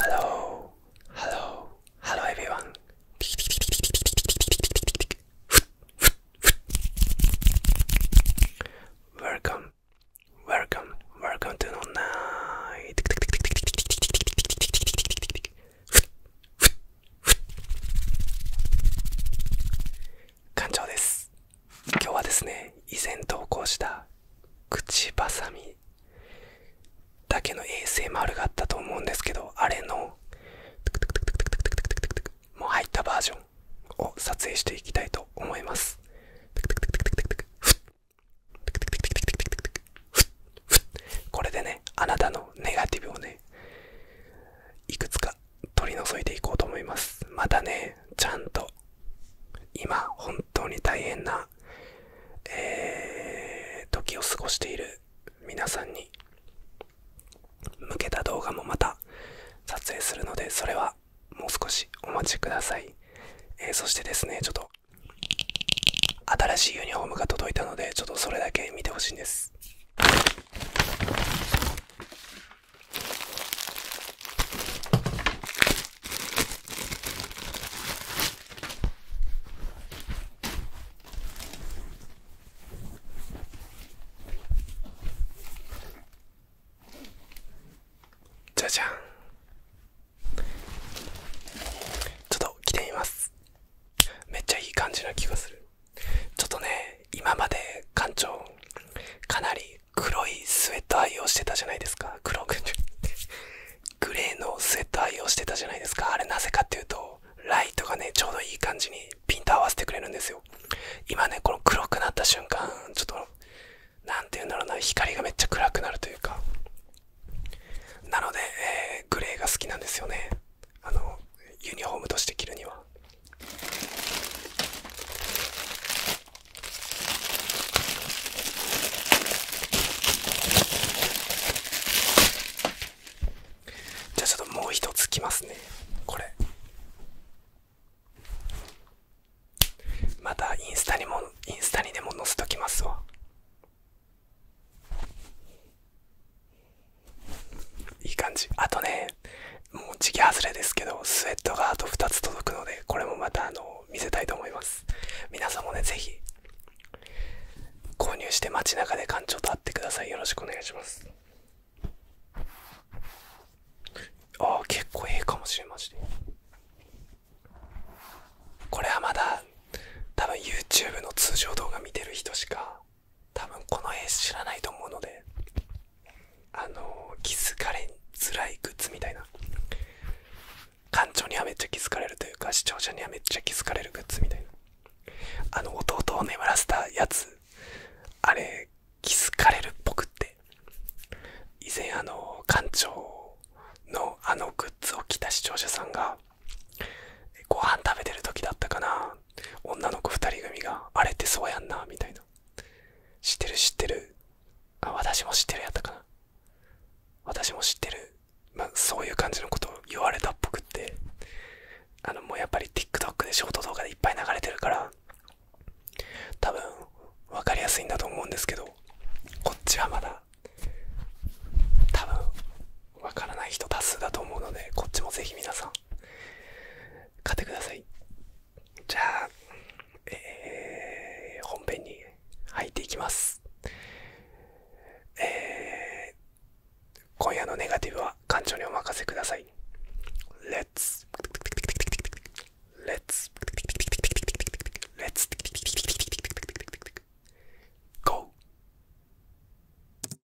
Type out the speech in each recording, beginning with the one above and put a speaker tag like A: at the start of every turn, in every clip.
A: Hello, hello, hello everyone. Welcome, welcome, welcome to the night. 館長です今日はですね以前投稿した口ばさみだけの衛星丸があったと思うんですけどあれのもう入ったバージョンを撮影していきたいと思いますこれでねあなたのネガティブをねいくつか取り除いていこうと思いますまたねちゃんと今本当に大変な、時を過ごしている皆さんに向けた動画もまた撮影するのでそれはもう少しお待ちください、えそしてですねちょっと新しいユニフォームが届いたのでちょっとそれだけ見てほしいんですじゃじゃんちょっと着てみますめっちゃいい感じな気がするちょっとね今まで館長かなり黒いスウェット愛用してたじゃないですか黒くグレーのスウェット愛用してたじゃないですかあれなぜかっていうとライトがねちょうどいい感じにピント合わせてくれるんですよ今ねこの黒くなった瞬間ちょっと何て言うんだろうな光がめっちゃ暗くなるというかなので、えグレーが好きなんですよねあのユニフォームとして着るにはじゃあちょっともう一つきますねこれまたインスタにもインスタにでも載せときますわいい感じあとねもう時期外れですけどスウェットがあと2つ届くのでこれもまたあの見せたいと思います皆さんもね是非購入して街中で館長と会ってくださいよろしくお願いしますああ結構ええかもしれませんこれはまだ多分 YouTube の通常動画見てる人しか多分この絵知らないと思うのであの気づかれづらいグッズみたいな館長にはめっちゃ気付かれるというか視聴者にはめっちゃ気付かれるグッズみたいなあの弟を眠らせたやつあれ気づかれるっぽくって以前あの館長のあのグッズを着た視聴者さんがご飯食べてる時だったかな女の子2人組があれってそうやんなみたいな知ってる知ってるあ私も知ってるやったかな私も知ってる、まあ、そういう感じのことを言われたっぽくってあのもうやっぱり TikTok でショート動画でいっぱい流れてるから多分分かりやすいんだと思うんですけどこっちはまだ多分分からない人多数だと思うのでこっちもぜひ皆さん買ってくださいじゃあ、え本編に入っていきますえ今夜のネガティブは館長にお任せくださいレッツレッツレッツ。e t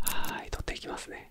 A: はい取っていきますね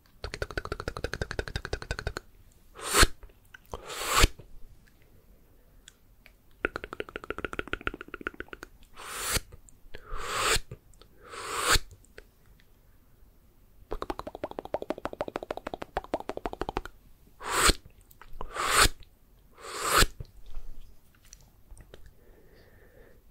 A: トクトクトクトクトクトクトクトクトクトクトクトクふっふっ